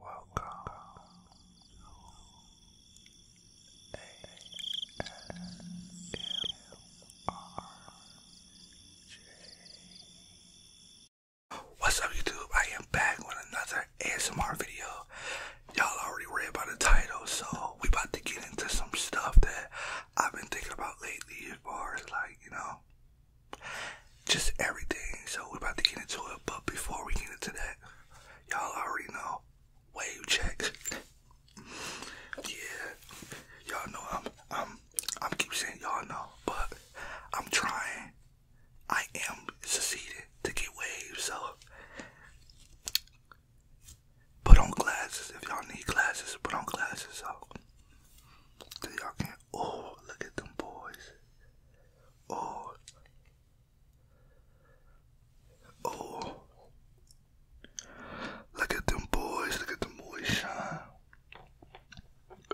Welcome to What's up, YouTube? I am back with another ASMR video. Y'all already read about the title, so we about to get into some stuff that I've been thinking about lately as far as like, you know, just everything. So we're about to get into it, but before we get into that, y'all already know wave check. Yeah, y'all know I'm I'm I'm keep saying y'all know, but I'm trying. I am succeeding to get waves. So put on glasses if y'all need glasses. Put on glasses so that y'all can Oh, look at them boys. Oh. Oh. Look at them boys. Look at them boys shine.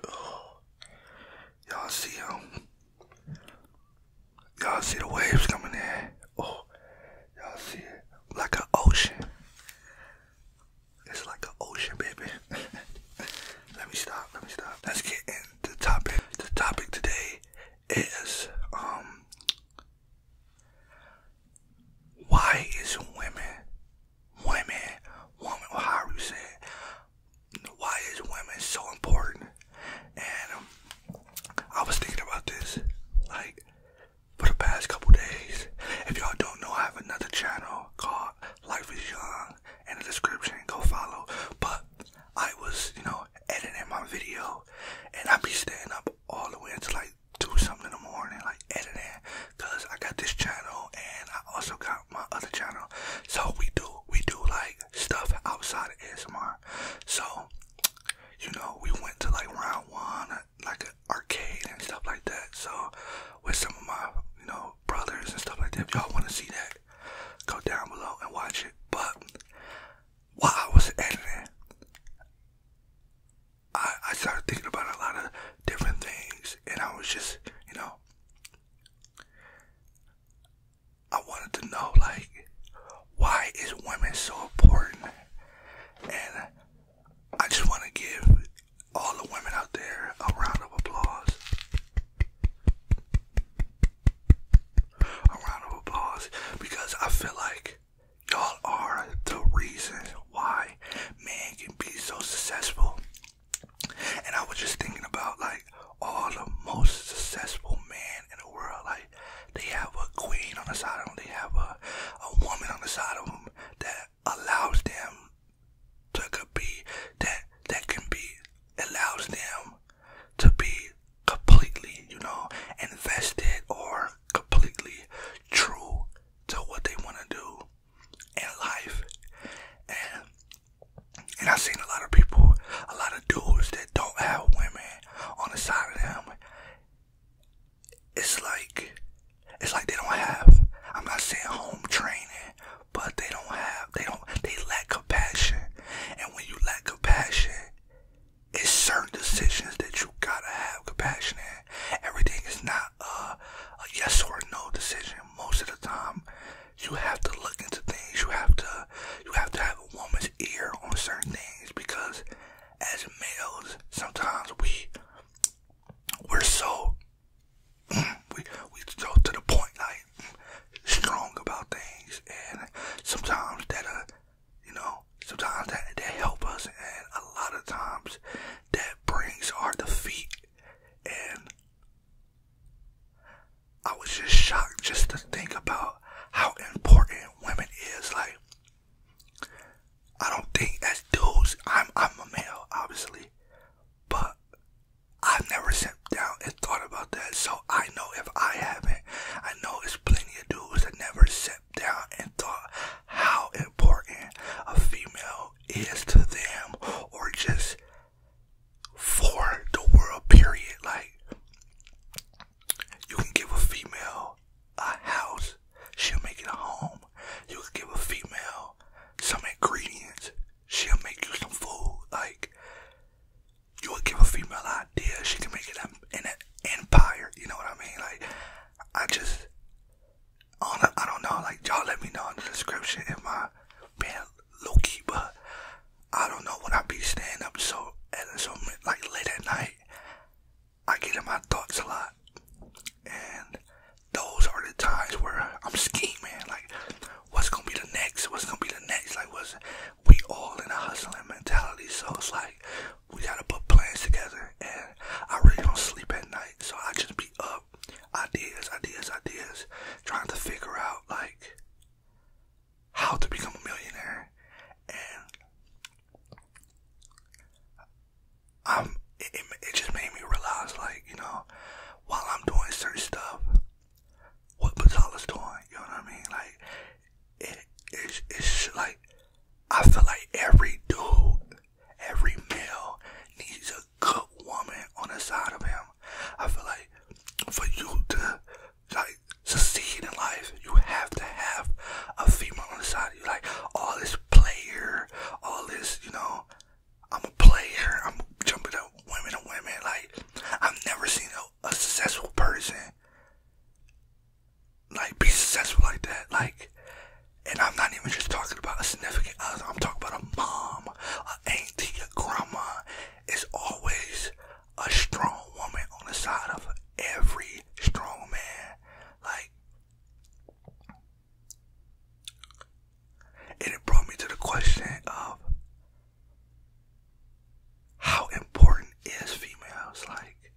Oh. Y'all see them? Y'all see the waves coming in? Oh. Y'all see it? Like an ocean. It's like an ocean, baby. let me stop. Let me stop. Let's get in the topic the topic today is um why is women women woman well, you say why is women so important and um, I was thinking about this like for the past couple days if y'all don't know I have another channel called Life is Young in the description and go follow. But I was, you know, editing my video and I be staying up all the way until like two something in the morning, like editing, cause I got this channel and I also got my other channel. So we do, we do like stuff outside of ASMR. So, you know, we went to like round one, like an arcade and stuff like that. So with some of my, you know, brothers and stuff like that, if y'all want to see that, go down below and watch it. But while I was editing, I, I started thinking about a lot of different things, and I was just, you know, I wanted to know, like, why is women so important? And I just want to give all the women out there a round of applause a round of applause because I feel like y'all are the reason why man can be so successful. And I was just thinking about like all the most successful men in the world. Like they have a queen on the side of them, they have a, a woman on the side of them that allows them that be that that can be allows them to be completely, you know, invested or completely true to what they want to do in life. and I've seen a lot of people, a lot of dudes that don't have women on the side of them. It's like it's like they don't have I'm not saying home training but they don't have they don't they lack compassion and when you lack compassion it's certain decisions that you gotta have compassion in everything is not a, yes or no decision most of the time you have to look into things you have to you have to have a woman's ear on certain things because as males sometimes we we're so we we go to the point like strong about things, and sometimes that uh, you know, sometimes that that help us, and a lot of times that brings our defeat. And I was just shocked just to think about how important women is. Like, I don't think as dudes, I'm I'm a male, obviously, but I've never sat down and thought about that, so I know if I haven't, I know it's plenty of dudes that never sat down and thought how important a female is to them or just for the world, period. Like, you can give a female a house, she'll make it a home. You can give a female some ingredients, she'll make you some food. Like, you'll give a female idea, she can make it in an empire. You know what I mean? Like, I just, I don't, I don't know. Like, y'all let me know in the description in my being low key, but I don't know when I be staying up so, and so like late at night. I get in my thoughts a lot, and those are the times where I'm scheming. Like, what's gonna be the next? What's gonna be the next? Like, what's we all in a hustling mentality, so it's like we gotta put plans together. And I really don't sleep at night, so I just be up, ideas, ideas, ideas, trying to figure out like how to become a millionaire. And I'm it just made me realize, like you know, while I'm doing certain stuff, what Patala's doing. You know what I mean? Like it's it's like I feel like every dude, every male needs a good woman on the side of him. I feel like for you to like succeed in life, you have to have a female on the side you. Like all this player, all this, you know, I'm a player. I'm jumping up women and women. Like I've never seen a, successful person like be successful like that. Like, and I'm not even just talking about a significant other. I'm talking about a mom, a auntie, a grandma. It's always a strong woman on the side of every strong man. Like. And it brought me to the question of how important is females like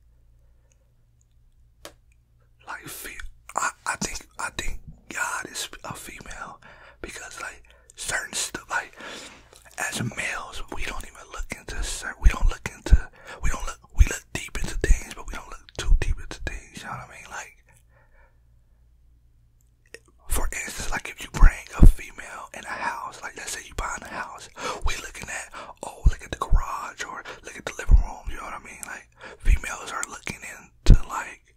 like fe I, I think I think God is a female because like certain stuff like as males we don't even look into certain we don't look into we don't look we look deep into things but we don't look too deep into things you know what I mean like for instance, like if you bring a female in a house, like let's say you buying a house, we looking at, oh, look at the garage or look at the living room, you know what I mean? Like females are looking into like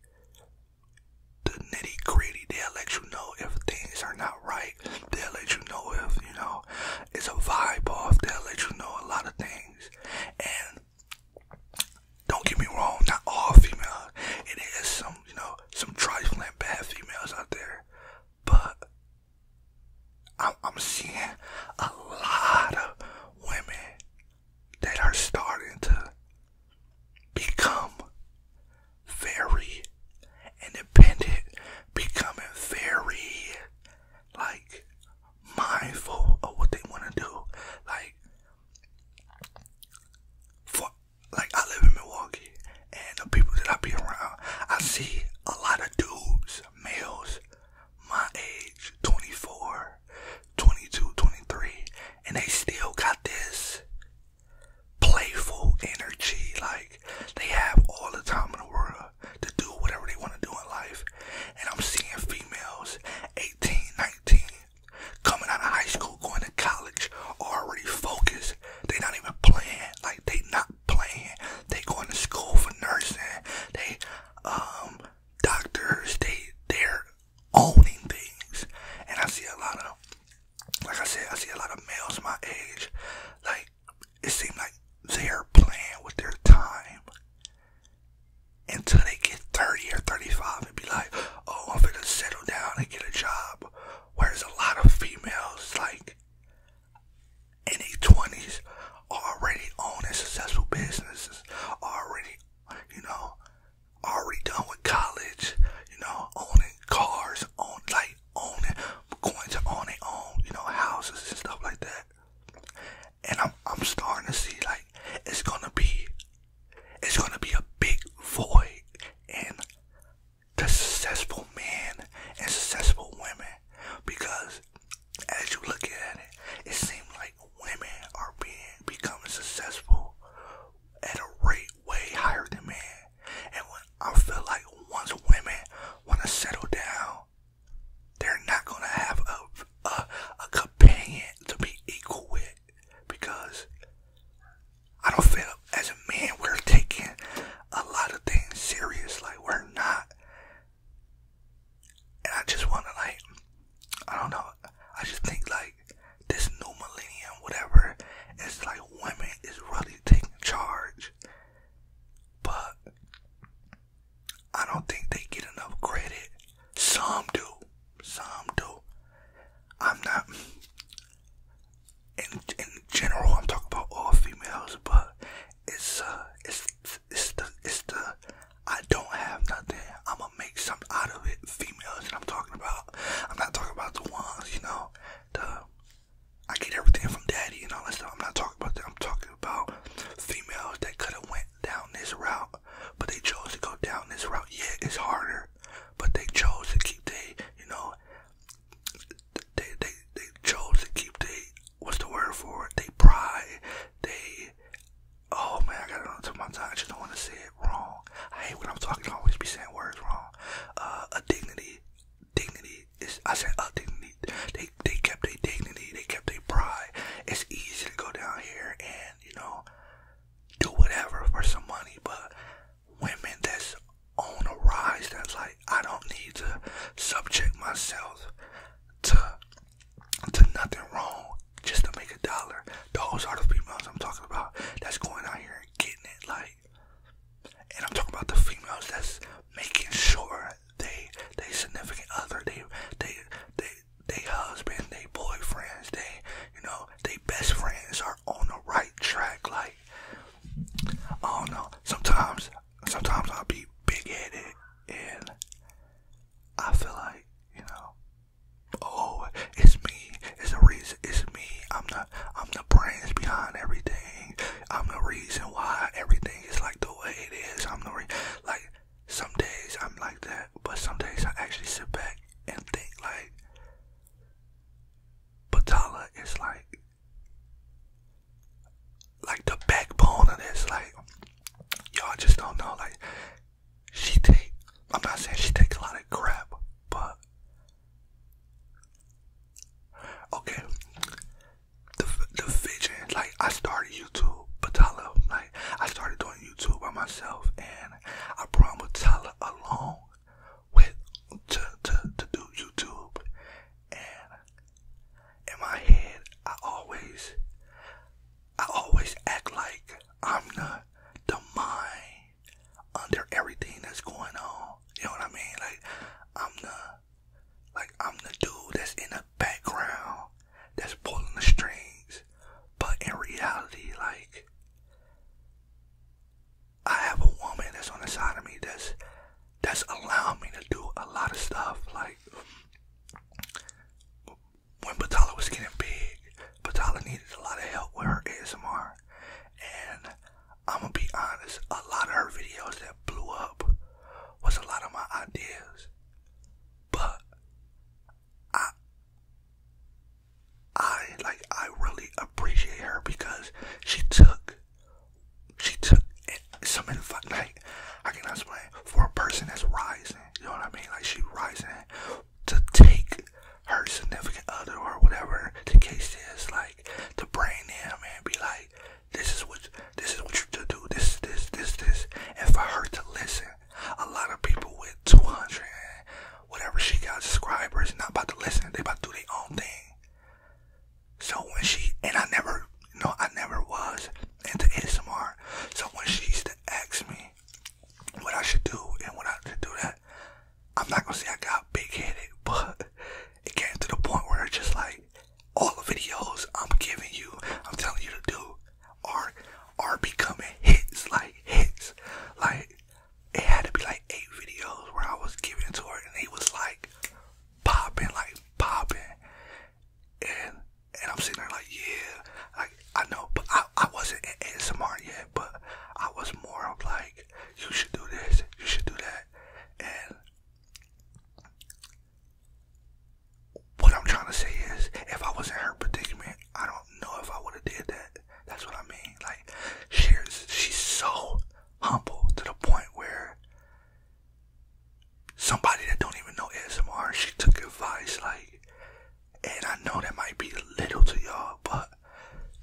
the nitty gritty. They'll let you know if things are not right. They'll let you know if, you know, it's a vibe off. They'll let you know a lot of things. And don't get me wrong, not all females. It is some, you know, some trifling bad females out there, but I'm, seeing a lot of women that are starting to become very independent, becoming very like mindful of what they want to do. Like for like I live in Milwaukee and the people that I be around, I see a lot of dudes, males my age, 24, 22, 23, and they still got this playful energy like they have all the time in the world to do whatever they want to do in life. And I'm seeing females 18, 19, coming out of high school, going to college, already focused. They not even playing. Like they not playing. They going to school for nursing. They um doctors. They they're owning things. And I see a lot of like I said, I see a lot of males my age. Like it seems like they're playing with their time until they get 30 or 35 and be like, oh, I'm gonna settle down and get a job. Whereas a lot of females, like in their 20s, are already owning successful businesses, already, you know, already done with college, you know, owning cars, own, like owning, going to own, you know, houses and stuff like that. And I'm, I'm starting to see like it's gonna be it's gonna be a big void in the successful men and successful women because as you look at it, it seems like women are being becoming successful at a rate way higher than men. And when I feel like once women want to settle down, they're not gonna have a a companion to be equal with because I don't feel as a man we're taking a lot of things serious. Like we're not. And I just wanna like I don't know. I just think like this new millennium, whatever, it's like women is really taking charge. But I don't think they get enough credit some do. Some do. I'm not. In in general, I'm talking about all females, but it's uh, it's it's the it's the I don't have nothing. I'm gonna make something out of it. Females that I'm talking about. I'm not talking about the ones, you know. The I get everything from daddy and all that stuff. I'm not talking about that. I'm talking about females that could have went down this route but they chose to go down this route. Yeah, it's harder, but they chose to keep the, you know, they they they chose to keep the What's the word for it? They pride. They. Oh man, I got to run top of my time. I just don't want to say it wrong. I hate when I'm talking. I always be saying words wrong. Uh, a dignity, dignity is. I said a dignity. They they kept their dignity. They kept their pride. It's easy to go down here and you know do whatever for some money, but women that's on a rise, that's like, I don't need to subject myself to to nothing wrong just to make a dollar. Those are the females I'm talking about that's going out here and getting it like and I'm talking about the females that's making sure they they significant other they they they they husband, they boyfriends, they you know, they best friends are on the right track. Like I don't know. Sometimes sometimes I'll be big headed and I feel like, you know, oh, it's me, it's the reason it's me. I'm the I'm the brains behind everything. I'm the reason why everything is like the way it is. I'm the reason, like some days I'm like that, but some days I actually sit back and think like Batala is like like the backbone of this. Like y'all just don't know. Like she take I'm not saying she takes a lot of crap, but okay. The the vision, like I started YouTube, Batala, I started doing YouTube by myself, and I brought Matala along with to, to to do YouTube, and in my head I always I always act like I'm the the mind under everything that's going on. You know what I mean? Like I'm the like I'm the dude that's in the background that's pulling the strings. But in reality, like, I have a woman that's on the side of me that's that's allowing me to do a lot of stuff. Like when Batalla was getting big, Batalla needed a lot of help with her ASMR. And I'm gonna be honest, a lot of her videos that blew up was a lot of my ideas. But I, I like I really appreciate her because she took she took some advice like I cannot explain for a person that's rising, you know what I mean? Like she rising to take her significant other or whatever the case is, like to bring them and be like, This is what this is what you to do, this, this, this, this and for her to listen a lot of people with 200 whatever she got subscribers not about to listen. They about to do their own thing. So when she and I never, you know, I never was into ASMR. So when she used to ask me what I should do and what I should do that, I'm not gonna say I got big headed, but it came to the point where it's just like all the videos I'm giving you, I'm telling you to do are are becoming hits, like hits. Like it had to be like eight videos where I was giving it to her, and they was like popping, like popping. And and I'm sitting there like, yeah, like I know, but I I wasn't in ASMR yet, but I was more of like, you should do this, you should do that, and what I'm trying to say is, if I was in her predicament, I don't know if I would have did that. That's what I mean. Like, she's she's so humble to the point where somebody that don't even know smr she took advice. Like, and I know that might be little to y'all, but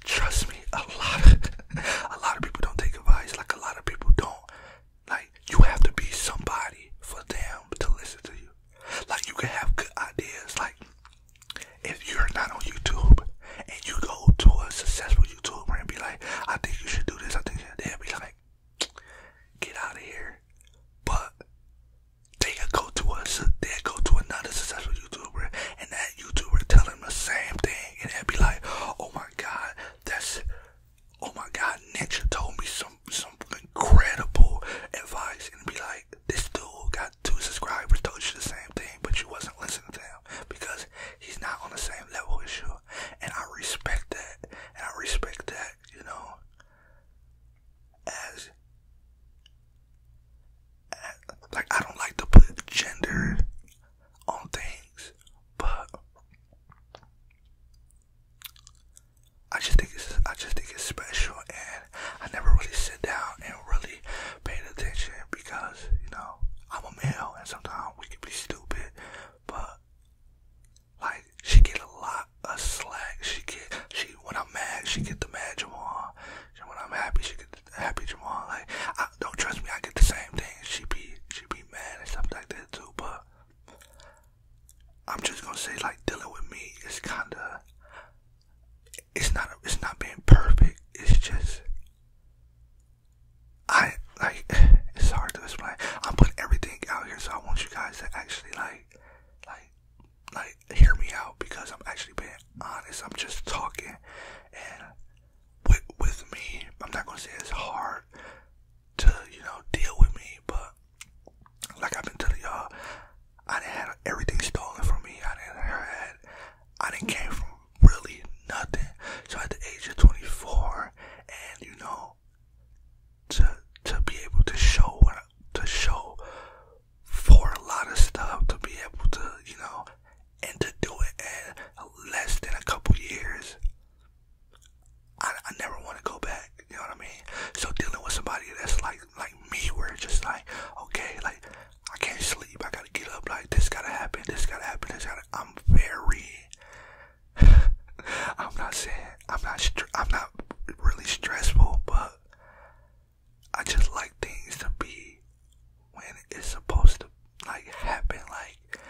trust me, a lot a lot of people don't take advice. Like, a lot of people don't. Like, you have to be somebody for them to listen to you. Like you can have good ideas. Like if you're not on YouTube and you go to a successful YouTuber and be like, I think you should do this, I think they would be like, get out of here. But they could go to us they go to another successful YouTuber and that YouTuber tell them the same thing and they would be like, Oh my god, that's oh my god, Ninja told me so some incredible advice and be like, this dude got two subscribers, told you the same thing, but you wasn't listening to him because he's not on the same level as you. And I respect that. And I respect that, you know. As, as like I don't like to put gender on things, but I just think it's I just think it's special, and I never really sit down and really pay attention because you know I'm a male, and sometimes we can be stupid. But like she get a lot of slack. She get she when I'm mad, she get the mad Jamal. And when I'm happy, she get the happy Jamal. Like I, don't trust me, I get the same thing. She be she be mad and stuff like that too. But I'm just gonna say like dealing with me is kinda it's not it's not being perfect. It's just I like it's hard to explain. I'm putting everything out here so I want you guys to actually like like like hear me out because I'm actually being honest. I'm just talking and with me, I'm not gonna say it's hard to, you know, deal with me, but like I've been telling y'all, I didn't have everything stolen from me. I didn't had, I didn't came from really nothing. So at the age of 24, and you know, to to be able to show to show for a lot of stuff, to be able to you know, and to do it in less than a couple years, I, never want to go back. You know what I mean? So dealing with somebody that's like like me, where it's just like, okay, like I can't sleep. I gotta get up. Like this gotta happen. This gotta happen. This gotta. I'm very. I'm not saying I'm not. I'm not really stressful, but I just like things to be when it's supposed to like happen. Like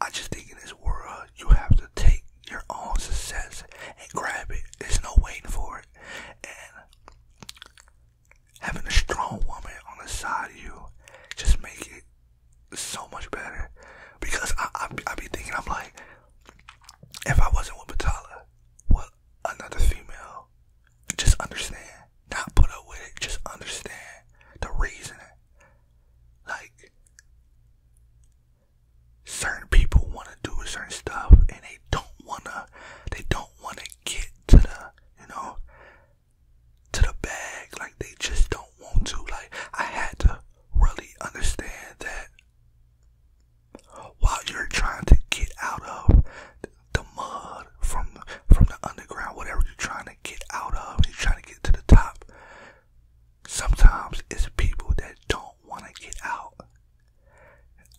I just think in this world you have to take your own success and grab it. There's no waiting for it. And having a strong woman on the side of you just make it so much better. Because I, I, I be thinking, I'm like, if I wasn't with Batala, what another female just understand, not put up with it, just understand the reason. Like, certain people want to do certain stuff and they don't want to they don't want to get to the you know to the bag like they just don't want to like i had to really understand that while you're trying to get out of the mud from from the underground whatever you're trying to get out of you're trying to get to the top sometimes it's people that don't want to get out.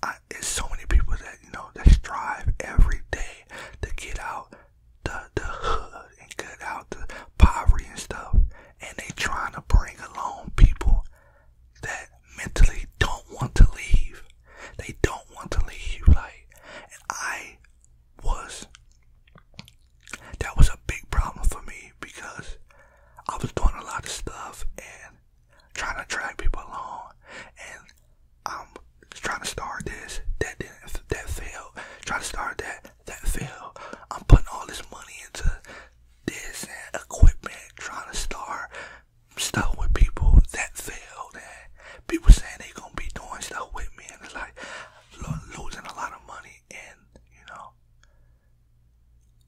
I, so many people that you know that strive every day to get out the the hood and get out the poverty and stuff, and they trying to bring along people that mentally don't want to leave. They don't want to leave. Like, I was that was a big problem for me because I was doing a lot of stuff and trying to drag people along, and I'm trying to start this, that didn't, that failed, trying to start that, that failed. I'm putting all this money into this equipment, trying to start stuff with people that failed, and people saying they are gonna be doing stuff with me, and it's like losing a lot of money, and you know,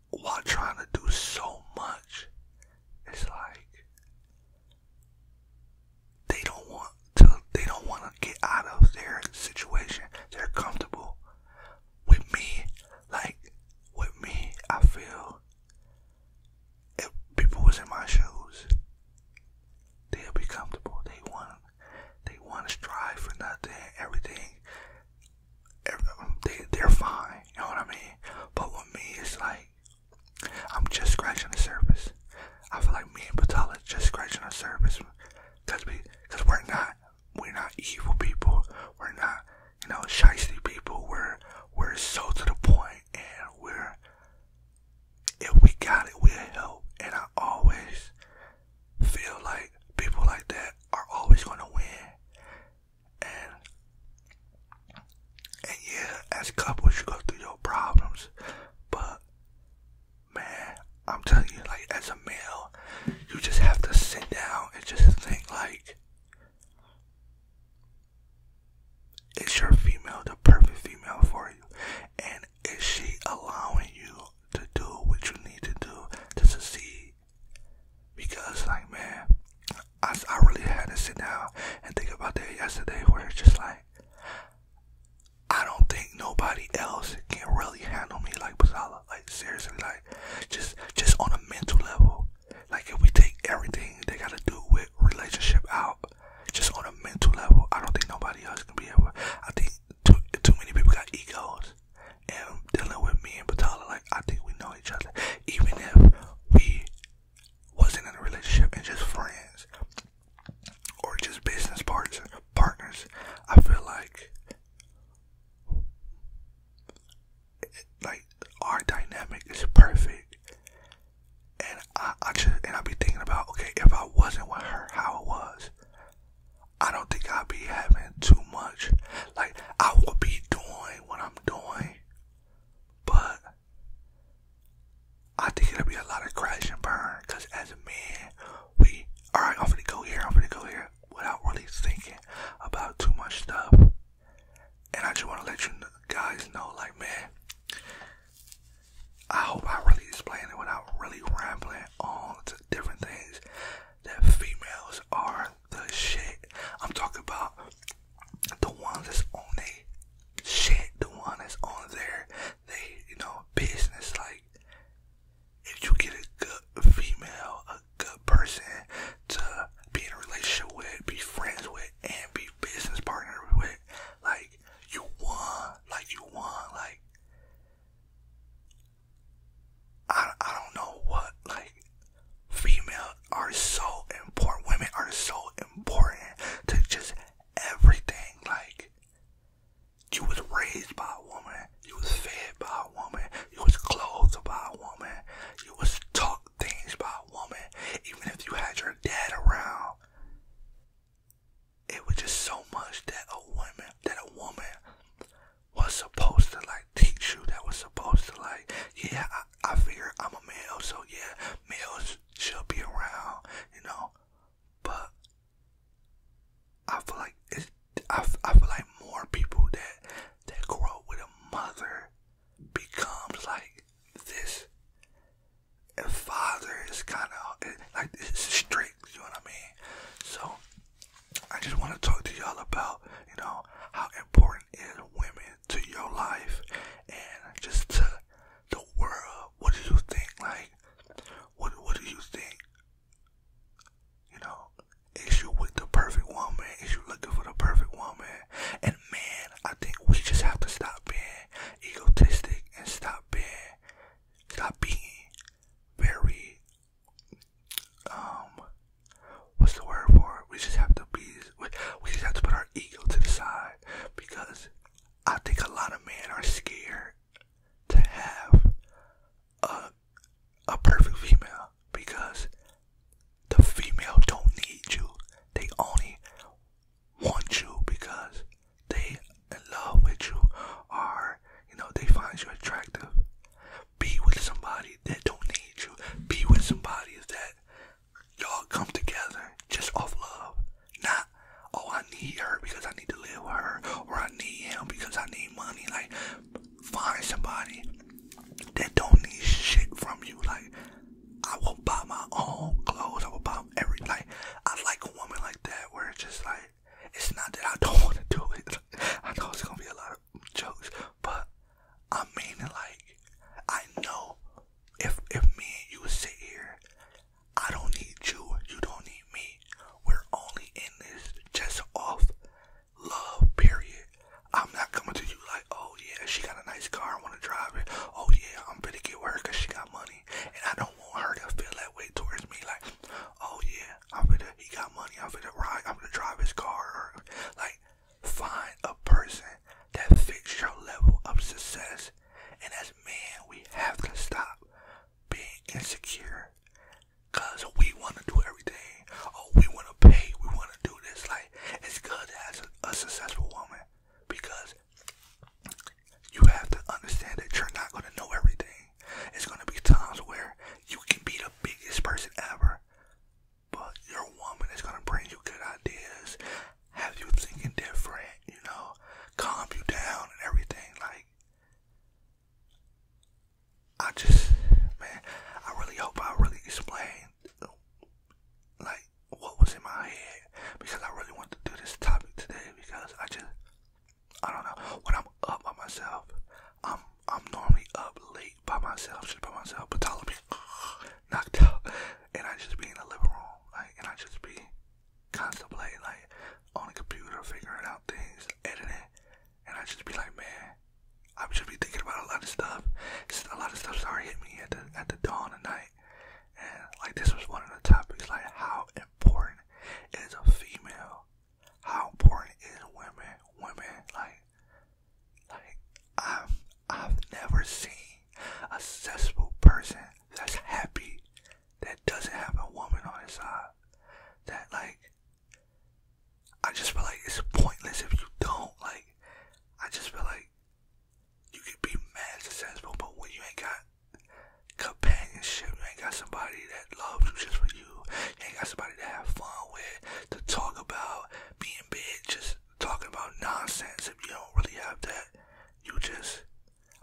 while trying to do so much, it's like they don't want to they don't want to get out of their situation. They're comfortable. With me, like with me, I feel if people was in my shoes, they'll be comfortable. They want they want to strive for nothing. Everything they they're fine. You know what I mean? But with me, it's like I'm just scratching the surface. I feel like me and Patala just scratching the surface, cause we, cause we're not, we're not evil people. We're not, you know, shisty people. We're, we're so to the point, and we're, if we got it, we help. And I always, feel like people like that are always gonna win. And and yeah, as couples you go through your problems, but man, I'm telling you, like as a male, you just have to sit down and just think like is your female the perfect female for you? And is she allowing you to do what you need to do to succeed. Because, like, man, I, I really had to sit down and think about that yesterday, where it's just like, I don't think nobody else can really handle me like Bazala. Like, seriously, like, just, just on a mental level. Like, if we take everything they gotta do with relationship out, just on a mental level, I don't think nobody else can be able. I think too too many people got egos, and dealing with me and Patala, like I think we know each other, even if we wasn't in a relationship and just friends or just business partners. Partners, I feel like like our dynamic is perfect, and I I just and I be thinking about okay if I wasn't with her how it was. I don't think I'd be having too much. Like, I will be doing what I'm doing, but I think it'll be a lot of crash and burn. Because as a man, we, alright, I'm gonna go here, I'm gonna go here, without really thinking about too much stuff. And I just want to let you guys know, like, man, I hope I really explained it without really rambling on to different things that females are the shit. I'm talking about the ones that's on they shit, the one that's on their they, you know, business. Like if you get a good female, a good person to be in a relationship with, be friends with, and be business partner with, like you want, like you want, like I I don't know what like females are so important. Women are so important to just everything. Like you was raised by a woman, you was fed by a woman, you was clothed by a woman, you was taught things by a woman. Even if you had your dad around, it was just so much that a woman that a woman was supposed to like teach you that was supposed to like yeah I, I figure I'm a male so yeah males should be around you know but I feel like it. I, I feel like more people that that grow up with a mother becomes like this and father is kind of like this is straight you know what I mean. So I just want to talk to y'all about you know how important is women to your life and just to the world. What do you think? Like what what do you think? You know, is you with the perfect woman? Is you looking for the perfect woman? And man, I think we just have to stop being egotistic and stop being stop being very um what's the word for it? We just have to be we, we just have to put our ego to the side because I think a lot of men are scared to have a a perfect female because the female don't need you. They only want you because they in love with you are you know they find you attractive. Be with somebody that don't need you. Be with somebody that y'all come together just off love. Not oh I need her because I need to live with her or I need him because I need money. Like find somebody that don't need shit from you. Like I will buy my own clothes. I will buy everything. Like I like a woman like that where it's just like it's not that I don't want to do it. I know it's gonna be a lot of jokes, but I mean it like I know if if me and you sit here, I don't need you, you don't need me. We're only in this just off love, period. I'm not coming to you like, oh yeah, she got a nice car, I wanna drive it. Oh yeah, I'm gonna get work cause she got money. And I don't want her to feel that way towards me like, oh yeah, I'm gonna, he got money, I'm gonna ride, I'm gonna drive his car. like, find a person that fits your level of success. And as men, we have to stop being insecure. Cause we want to do everything. Oh, we want to pay. We want to do this. Like, it's good as a successful woman because you have to understand that you're not going to know everything. It's going to be times where you can be the biggest person ever, but your woman is going to bring you good ideas, have you thinking different, you know, calm you down and everything. Like, I just, man, I really hope I really explained, like, what was in my head because I really want to do this topic today because I just, I don't know. When I'm up by myself, I'm I'm normally up late by myself, just by myself. But Tyler be knocked out, and I just be in the living like, and I just be contemplating, like, on a computer, figuring out things, editing, and I just be like, man, I should be thinking about a lot of stuff. Just a lot of stuff started hitting me at the at the dawn of night, and like this was one of the topics, like how important is a female how important it is women, women, like, like, I've, I've never seen a successful person that's happy that doesn't have a woman on his side. That, like, I just feel like it's pointless if you don't. Like, I just feel like you could be mad successful, but when you ain't got companionship. You ain't got somebody that loves you just for you. You ain't got somebody to have fun with, to talk about, being big, just talking about nonsense. If you don't really have that, you just,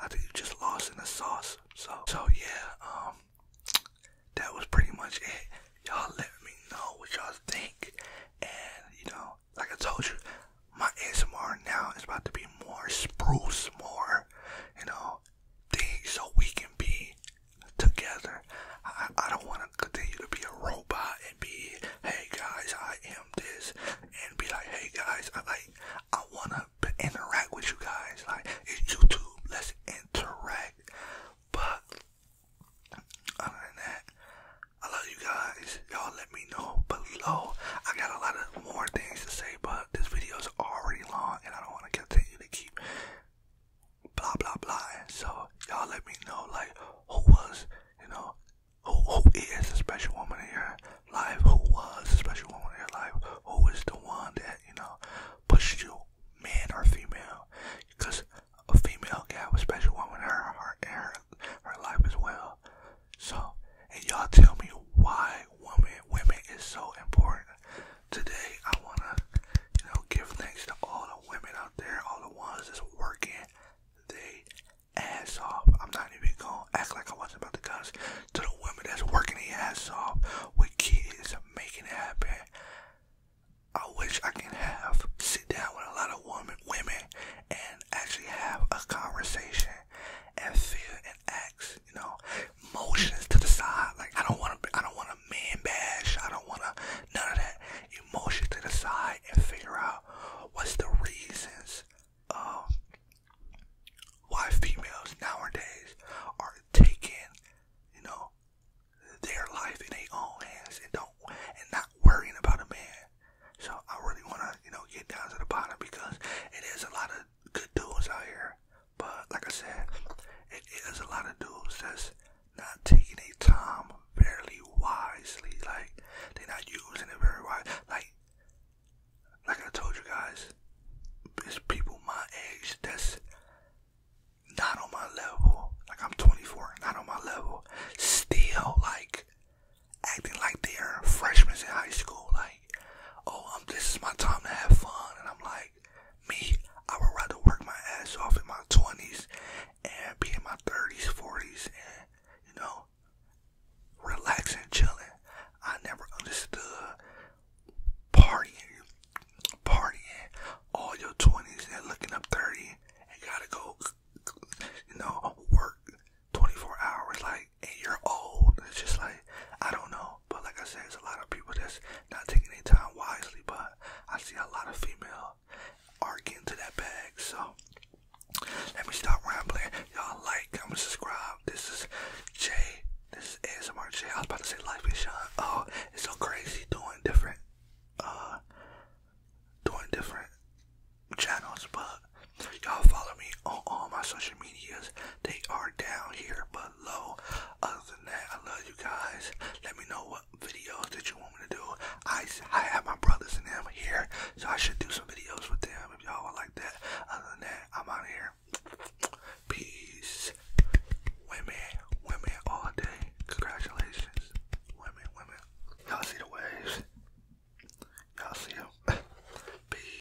I think you just lost in the sauce. So, so yeah, um, that was pretty much it. Y'all let me know what y'all think. And, you know, like I told you, my ASMR now is about to be more spruce, more, you know, so we can be together. I, don't want to continue to be a robot and be, hey guys, I am this, and be like, hey guys, I like, I want to interact with you guys. Like, YouTube, let's interact. But other than that, I love you guys. Y'all let me know below. I got a lot of more things to say, but uh, this video is already long and I don't want to continue to keep blah blah blah. So y'all let me know like who was, you know, who who is the special woman in your life? Who was the special woman in your life? Who is the one that you know pushed you, man or female? Because a female can have a special woman in her her, her, her life as well. So and y'all tell me why why women is so important. Today I wanna, you know, give thanks to all the women out there, all the ones that's working they ass off. I'm not even gonna act like I wasn't about to cuss. To the women that's working their ass off with kids making it happen. I wish I can have sit down with a lot of women women and actually have a conversation and feel and act you know, emotions to the side. Like I don't want to, I don't want to man bash. I don't want to none of that. Emotion to the side and figure out what's the reasons um, why females nowadays are taking, you know, their life in their own hands and don't and not worrying about a man. So I really want to, you know, get down to the bottom because it is a lot of good dudes out here but like I said, it is a lot of dudes that's not taking their time fairly wisely. Like they're not using it very wise. Like like I told you guys, it's people my age that's not on my level. Like I'm 24, not on my level. Still like acting like they're freshmen in high school. Like oh, um, this is my time to have fun. And I'm like, me, I would rather work my ass off in my 20s and be in my 30s, 40s, and, you know, relaxing, chilling. I never understood partying, partying all your 20s and looking up 30 and gotta go, you know, work 24 hours. Like, and you're old. It's just like I don't know. But like I said, there's a lot of people that's not taking any time wisely. But I see a lot of female are getting to that bag. So let me stop rambling. Y'all like, comment, subscribe. This is Jay. This is ASMR Jay. I was about to say life is shine. Oh, it's so crazy doing different uh doing different channels, but Y'all follow me on all my social medias. They are down here below. Other than that, I love you guys. Let me know what videos that you want me to do. I, I have my brothers and them here, so I should do some videos with them if y'all would like that. Other than that, I'm out here. Peace. Women, women all day. Congratulations. Women, women. Y'all see the waves? Y'all see them? Peace.